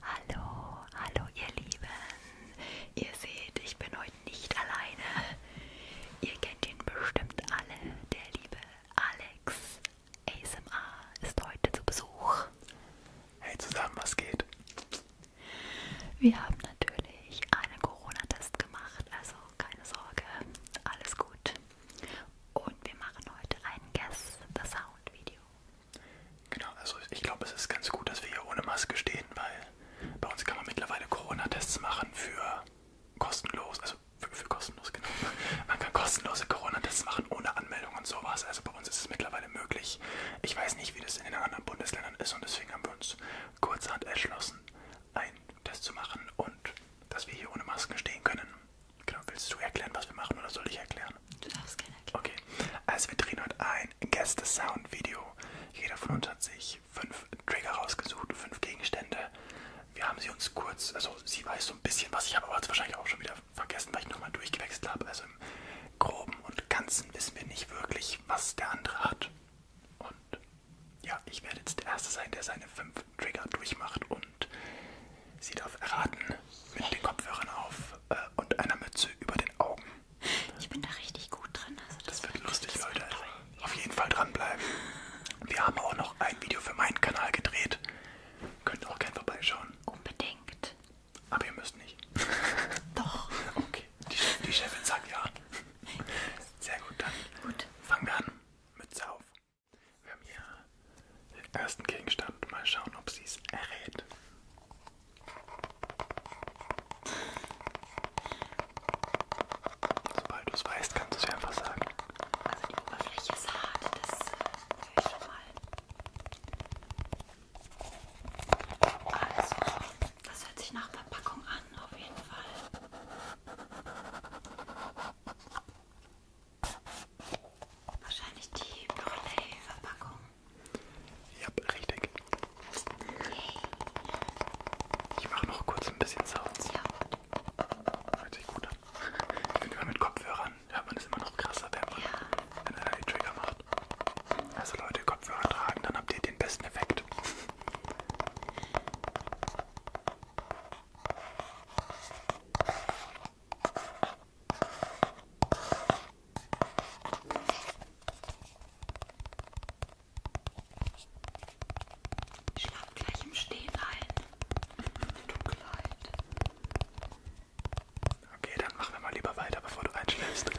Hallo, hallo ihr Lieben. Ihr seht, ich bin heute nicht alleine. Ihr kennt ihn bestimmt alle. Der liebe Alex ASMR ist heute zu Besuch. Hey zusammen, was geht? Wir haben natürlich einen Corona-Test gemacht, also keine Sorge, alles gut. Und wir machen heute ein Guess the Sound Video. Genau, also ich glaube, es ist ganz gut, dass wir hier ohne Maske stehen, weil bei uns kann man mittlerweile Corona-Tests machen für kostenlos, also für, für kostenlos, genau. Man kann kostenlose Corona-Tests machen ohne Anmeldung und sowas. Also bei uns ist es mittlerweile möglich. Ich weiß nicht, wie das in den anderen Bundesländern ist und deswegen haben wir uns kurzhand entschlossen, einen Test zu machen und dass wir hier ohne Masken stehen können. Genau, willst du erklären, was wir machen oder soll ich erklären? Du darfst gerne erklären. Okay, also wir drehen heute ein Gäste-Sound-Video. Jeder von uns hat sich fünf Trigger rausgesucht, fünf Gegenstände. Wir haben sie uns kurz, also sie weiß so ein bisschen was, ich habe aber jetzt wahrscheinlich auch schon wieder vergessen, weil ich nochmal durchgewechselt habe. Also im Groben und Ganzen wissen wir nicht wirklich, was der andere hat. Und ja, ich werde jetzt der Erste sein, der seine fünf Trigger durchmacht und Sie darf erraten mit den Kopfhörern auf äh, und einer Mütze über den Augen. Ich bin da richtig gut drin. Also das, das wird lustig, das Leute. Wird auf jeden Fall dranbleiben. Wir haben auch noch ein Video für meinen Kanal gedreht. Könnt auch gerne vorbeischauen. Unbedingt. Aber ihr müsst nicht. Doch. Okay, die, Chef, die Chefin sagt ja. Sehr gut, dann gut. fangen wir an. Mütze auf. Wir haben hier den ersten Gegenstand. Mal schauen, ob sie es errät. Sobald du es weißt, kannst du es ja einfach sagen. Also die Oberfläche ist hart, äh, das höre ich schon mal. Also, das hört sich nach Verpackung an, auf jeden Fall. Wahrscheinlich die Brûlée-Verpackung. Ja, richtig. Yay. Ich mache noch kurz ein bisschen Sounds. Ja. Hört sich gut an. Wenn man mit Kopfhörern hört man es immer noch krasser, wenn man ja. einen e Trigger macht. Also Leute, Kopfhörer tragen, dann habt ihr den besten Effekt. Schlaf gleich im Stehen ein. Du Kleid. Okay, dann machen wir mal lieber weiter, bevor du einschläfst.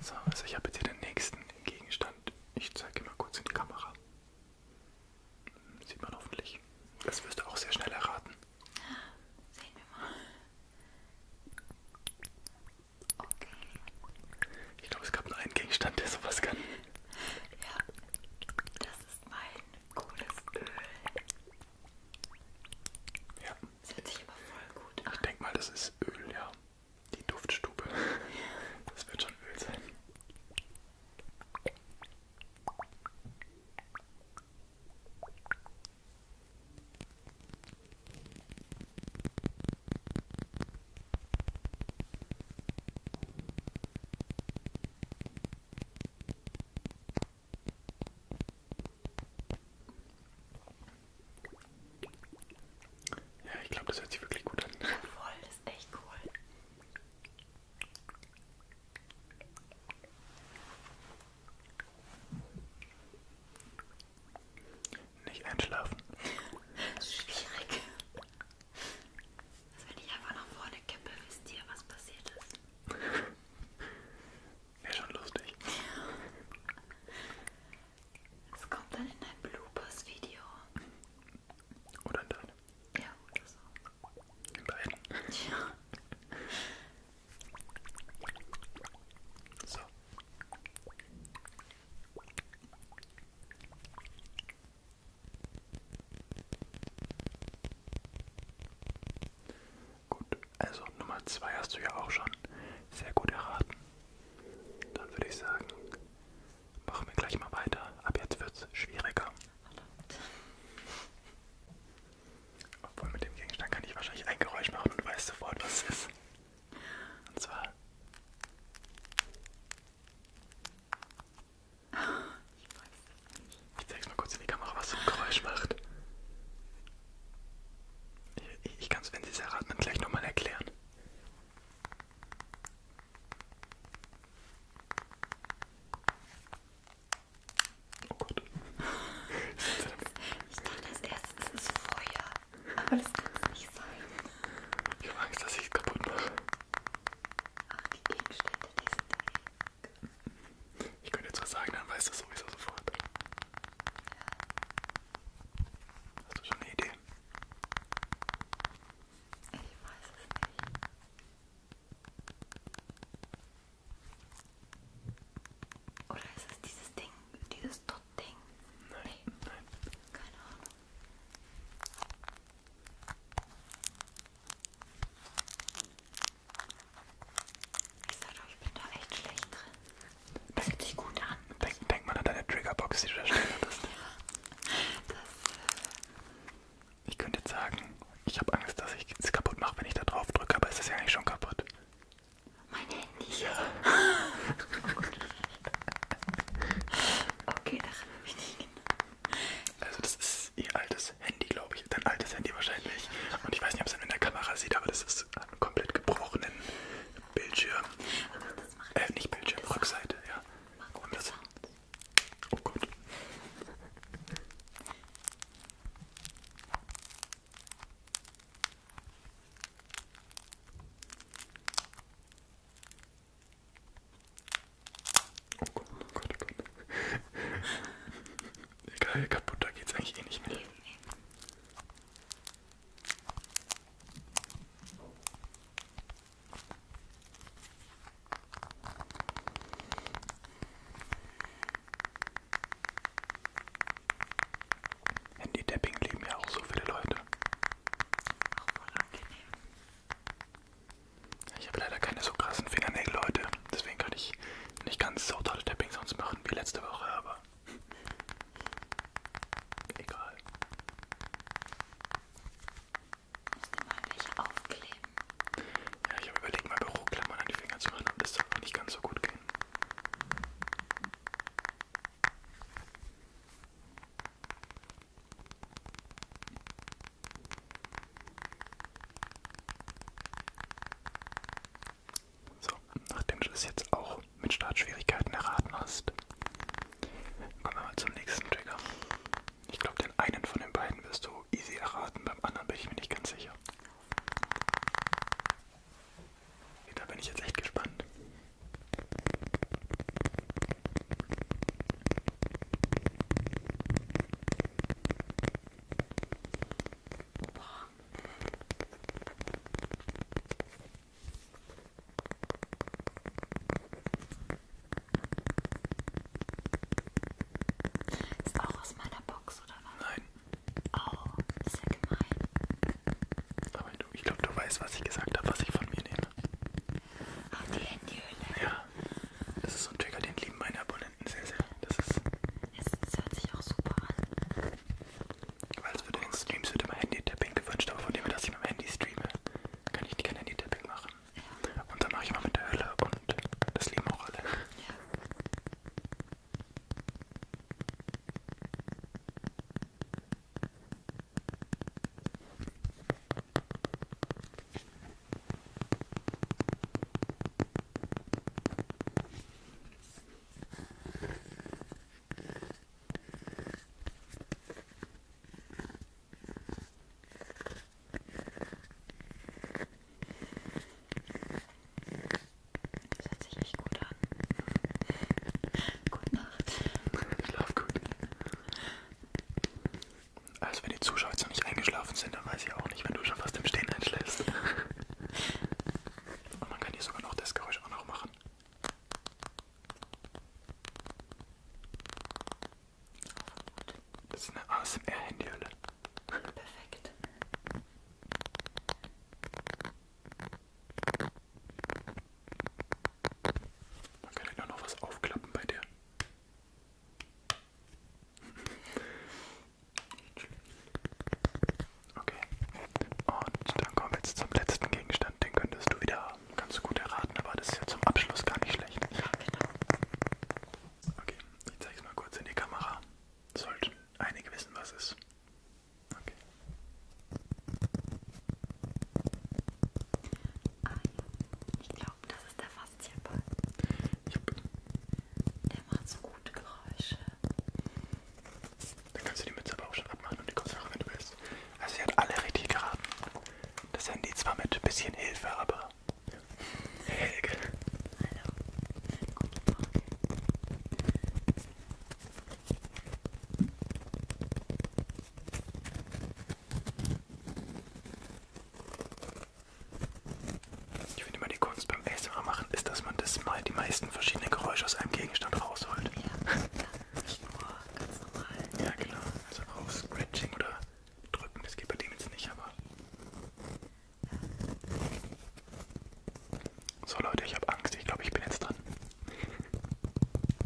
so, also ich habe jetzt hier den nächsten Gegenstand. Ich zeige mal kurz in die Kamera. Sieht man hoffentlich. Das wirst du auch sehr schnell erraten. Sehen wir mal. Okay. Ich glaube, es gab nur einen Gegenstand, der sowas kann. Ja, das ist mein cooles Öl. Ja. Das hört sich immer voll gut an. Ich denke mal, das ist Öl, ja. Die Duftstube. Das wird schon Öl sein. Ja, ich glaube, das hört sich wirklich gut an. Ja, voll ist echt cool. Nicht einschlafen. das ist schwierig. Also wenn ich einfach nach vorne kippe, wisst ihr, was passiert ist. Wäre schon lustig. Es kommt dann in ein Bloopers-Video. Oder in deinem? Ja, oder so. In beiden? Ja. So. Gut, also Nummer 2 hast du ja auch schon sehr gut erraten. Dann würde ich sagen, Machen wir gleich mal weiter. Ab jetzt wird es schwieriger. Obwohl mit dem Gegenstand kann ich wahrscheinlich ein Geräusch machen und weiß sofort, was es ist. Und zwar. Ich zeig's mal kurz in die Kamera, was so ein Geräusch macht. Ich, ich kann es, wenn Sie es erraten, dann gleich nochmal erklären. Oh Gott. Ich dachte als erstes ins Feuer. Aber das kann es nicht sein. Ich habe Angst, dass ich es kaputt mache. Ach, die Gegenstände, die sind weg. Ich könnte jetzt was sagen, dann weiß das sowieso sofort. Ja. Hast du schon eine Idee? Ich weiß es nicht. Oder ist es dieses Ding, dieses Tot-Ding? Nein, nee. nein. Keine Ahnung. Ich sag doch, ich bin da echt schlecht drin. Das hört sich gut an. Denk, denk mal an deine Triggerbox, die du da stehen hattest. Ich könnte jetzt sagen, ich habe Angst, dass ich es kaputt mache, wenn ich da drauf drücke, aber es ist ja eigentlich schon kaputt. Mein Handy? Ja. oh Gott. Okay, daran habe ich nicht gedacht. Also das ist ihr altes Handy, glaube ich. Dein altes Handy wahrscheinlich. Und ich weiß nicht, ob es in der Kamera sieht, aber das ist ein komplett gebrochenen Bildschirm. Aber das macht äh, nicht Bildschirm, das Rückseite, das ja. Mach Und das, oh Gott. Oh Gott, oh Gott, oh Gott. Egal, kaputt, da geht's eigentlich eh nicht mehr. Handy-Tapping leben ja auch so viele Leute. Auch unangenehm. Ich habe leider keine so krassen Fingernägel heute, deswegen kann ich nicht ganz so tolle Tapping sonst machen wie letzte Woche, aber Egal. Müssen wir mal welche aufkleben? Ja, ich habe überlegt, mal Büroklammern an die Finger zu machen, aber das soll auch nicht ganz so gut gehen. So, nachdem du das jetzt auch mit Startschwierigkeiten erraten hast, kommen wir mal zum nächsten Trigger. Ich glaube, den einen von den beiden wirst du easy erraten, beim anderen bin ich mir nicht ganz sicher. Da bin ich jetzt echt gespannt. Boah. Ist auch aus meiner Box, oder was? Nein. Oh, ist ja gemein. Aber du, ich glaube, du weißt, was ich gesagt habe, was ich von mir nehme. Ach, die Handyhülle. Ja. Das ist so ein Trigger, den lieben meine Abonnenten sehr, sehr. Das ist es hört sich auch super an. Also für den Streams wird immer Handy-Tapping gewünscht, aber von dem, dass ich mit dem Handy streame, kann ich kein Handy-Tapping machen. Ja. Und dann mache ich mal mit der Hölle und das lieben auch alle. Ja. Das hört sich echt gut an. Gute Nacht. Schlaf gut. Also wenn die Zuschauer jetzt noch nicht eingeschlafen sind, dann weiß ich auch nicht, wenn du schon fast im Stehen einschläfst. Und man kann hier sogar noch das Geräusch auch noch machen. Das ist eine ASMR-Handyhülle. Perfekt. Man kann ja noch was aufklappen bei dir. Okay. Und dann kommen wir jetzt zum letzten Gegenstand. Den könntest du wieder ganz gut erraten, aber das ist ja zum Abschluss gar nicht schlecht. Ja, genau. Okay, ich zeig's mal kurz in die Kamera. Sollten einige wissen, was es ist. Okay. Ah, ähm, ja. Ich glaube, das ist der Faszienball. Yep. Der macht so gute Geräusche. Dann kannst du die Mütze aber auch schon abmachen und die Kopfhörer, wenn du willst. Also sie hat alle richtig geraten. Das Handy zwar mit bisschen Hilfe, aber... Helge. Hallo. Guten Morgen. Ich finde immer die Kunst beim ASMR machen, ist, dass man das mal die meisten verschiedenen Geräusche aus einem Gegenstand rausholt. Ja, ja nicht nur ganz normal. Ja, genau. Also auch Scratching oder Drücken, das geht bei dem jetzt nicht, aber... So Leute, ich habe Angst. Ich glaube, ich bin jetzt dran.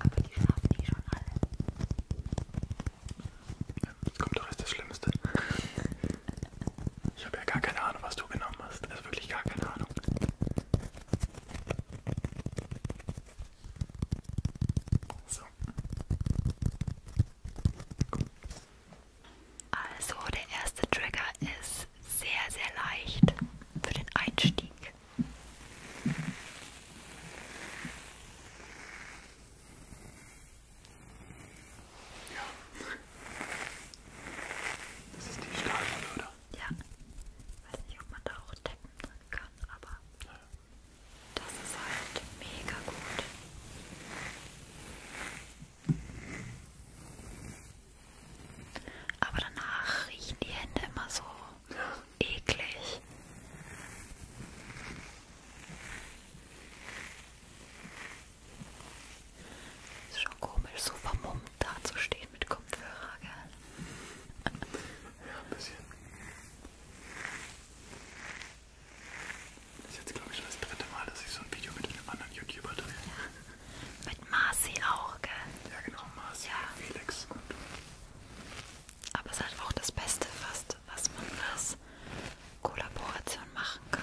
Aber die schlafen die schon alle. Jetzt kommt doch erst das Schlimmste. Ich habe ja gar keine Ahnung, was du genommen hast. Also wirklich gar keine Ahnung. So. Gut. Also der erste Trigger ist sehr, sehr leicht für den Einstieg. Ja. Das ist die Stahlwolle, oder? Ja. Ich weiß nicht, ob man da auch Deppen drin kann, aber ja. das ist halt mega gut. Aber danach riechen die Hände immer so ja. eklig. Ist schon komisch, so vermummt dazustehen mit Kopfhörer, gell? Ja, ein bisschen. Das ist jetzt, glaube ich, schon das dritte Mal, dass ich so ein Video mit einem anderen YouTuber drehe. Ja. Mit Marci auch, gell? Ja, genau, Marci, ja. Felix und aber es ist halt auch das Beste, was, was man als Kollaboration machen kann.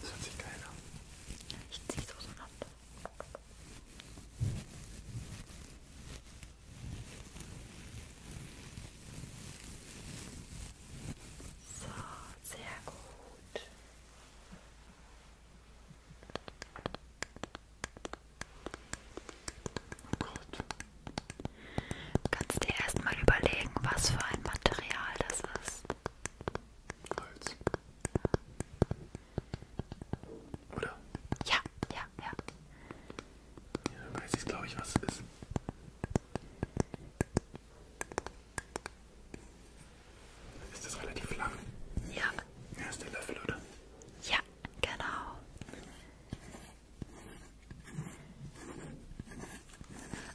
Das hört sich geil an. Ich zieh so so ab. So, sehr gut. Oh Gott. Du kannst dir erstmal überlegen, was für ein Material das ist. Holz. Oder? Ja, ja, ja. Ja, weiß ich glaube ich, was es ist. Ist das relativ lang? Ja. Ja, ist der Löffel, oder? Ja, genau.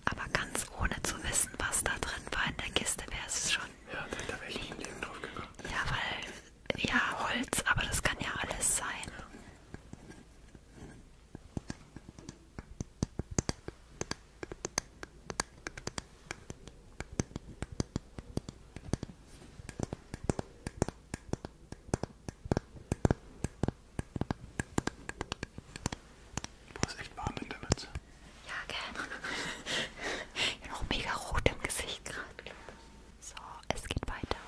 Aber ganz ohne zu wissen, was da drin war in der Kiste, wäre es schon. Ja, da wäre ich nicht mit dem drauf gekommen. Ja, weil. Ja, Holz, aber das kann ja alles sein. Ja. Boah, ist echt warm in der Mütze. Ja, gerne. Ich bin auch mega rot im Gesicht gerade, glaube ich. So, es geht weiter.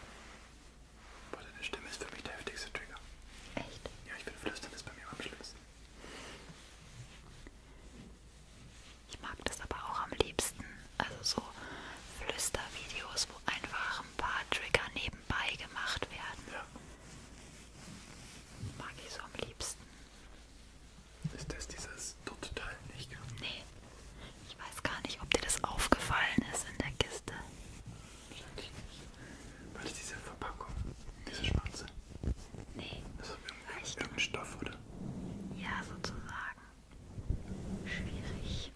Boah, deine Stimme ist für mich der heftigste Trigger. Echt? Ja, ich finde Flüstern ist bei mir am schlimmsten. Ich mag das aber auch am liebsten. Also so Flüstervideos, wo einfach ein paar Trigger nebeneinander nebenbei gemacht werden. Ja. Mag ich so am liebsten. Ist das dieses Dot-Teil nicht? Nee. Ich weiß gar nicht, ob dir das aufgefallen ist in der Kiste. Wahrscheinlich nicht. Weil das diese Verpackung, diese schwarze. Nee. Das ist irgendein, irgendein Stoff, oder? Ja, sozusagen. Schwierig.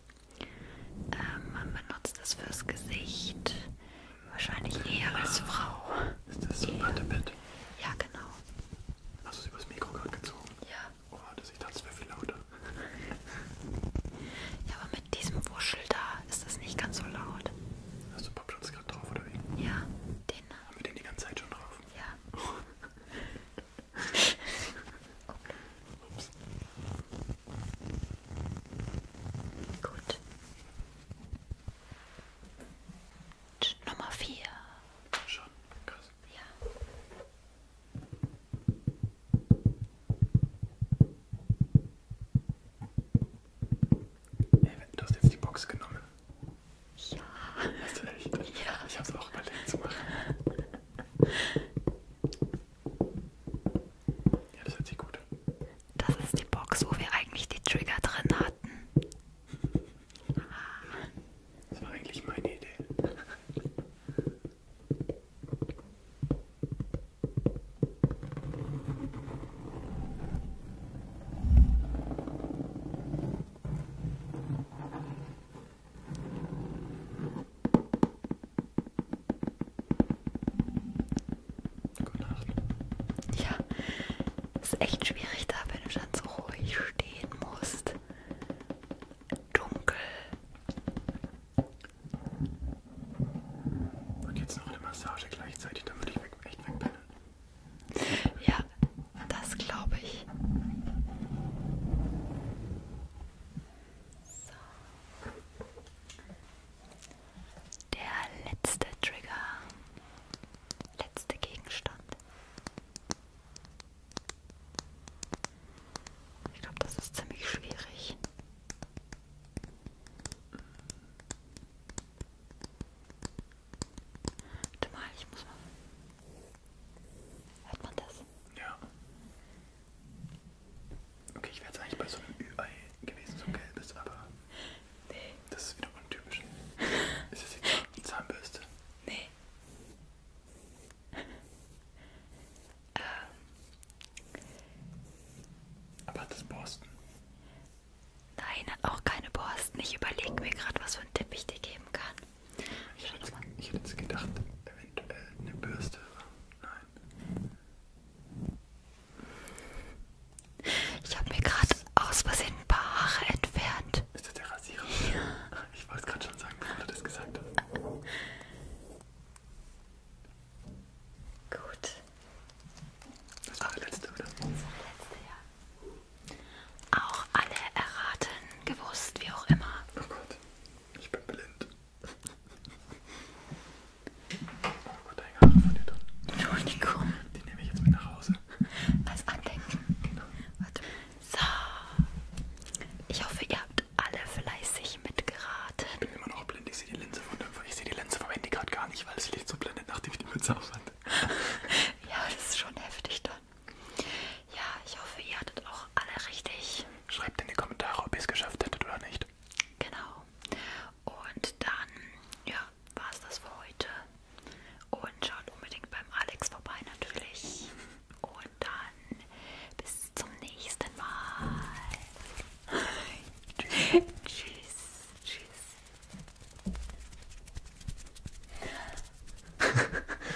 Ähm, man benutzt es fürs Gesicht. Wahrscheinlich eher als Frau. Ist das so ein Wattepad? Ja, genau. Hast du es übers Mikro gerade gezogen? Ja. Oh, das, ich dachte, es wäre viel lauter. ja, aber mit diesem Wuschel da ist das nicht ganz so laut. Hast du Popschutz gerade drauf oder wie? Ja, den. Äh, Haben wir den die ganze Zeit schon drauf? Ja. Oh. okay. Ups. Gut. Und Nummer vier. Schon, krass. Ja. Hey, du hast jetzt die Box genommen. Ja. Hast du echt? Ja. Ich hab's auch überlegt zu machen. Ja, das hört sich gut. Das ist die Box, wo wir eigentlich die Trigger drin hatten. Das war eigentlich meine Idee. Gute Nacht. Ja, ist echt schwierig da, wenn du dann so ruhig stehen musst. Dunkel. Und jetzt noch eine Massage gleichzeitig, dann würde ich weg, echt wegpennen. Ja, das glaube ich. So. Der letzte Trigger, letzte Gegenstand. Ich glaube, das ist ziemlich schwierig. Warte mal, ich muss mal. Hört man das? Ja. Okay, ich wäre jetzt eigentlich bei so einem Ü-Ei gewesen, so ein gelbes, aber nee. das ist wieder untypisch. Ist das die Zahnbürste? Nee. ähm. Aber hat das Borsten? Nein, hat auch keine Borsten. Ich überlege mir gerade, was für einen Tipp ich dir geben kann. Ich hätte, ich hätte jetzt gedacht, eventuell eine Bürste. Nein. Ich habe mir gerade aus Versehen ein paar Haare entfernt. Ist das der Rasierer? Ja. Ich wollte es gerade schon sagen, bevor du das gesagt hast. Gut. Das war der letzte, oder? Das war der letzte, ja. Auch alle erraten, gewusst, wie auch immer. Oh Gott. Ich bin blind. Oh Gott, deine Haare von dir drin. Entschuldigung. Die nehme ich jetzt mit nach Hause. Als Andenken. Genau. Warte. So. Ich hoffe, ihr habt alle fleißig mitgeraten. Ich bin immer noch blind. Ich sehe die Linse von dem, ich sehe die Linse vom Handy gerade gar nicht, weil es Licht so blendet, nachdem ich die Mütze aufwand. ja, das ist schon heftig dann. Ja, ich hoffe, ihr hattet auch alle richtig. Schreibt in die Kommentare, ob ihr es geschafft hättet oder nicht. Genau. Und dann, ja, war es das für heute. Und schaut unbedingt beim Alex vorbei natürlich. Und dann bis zum nächsten Mal. Tschüss. Tschüss. Tschüss.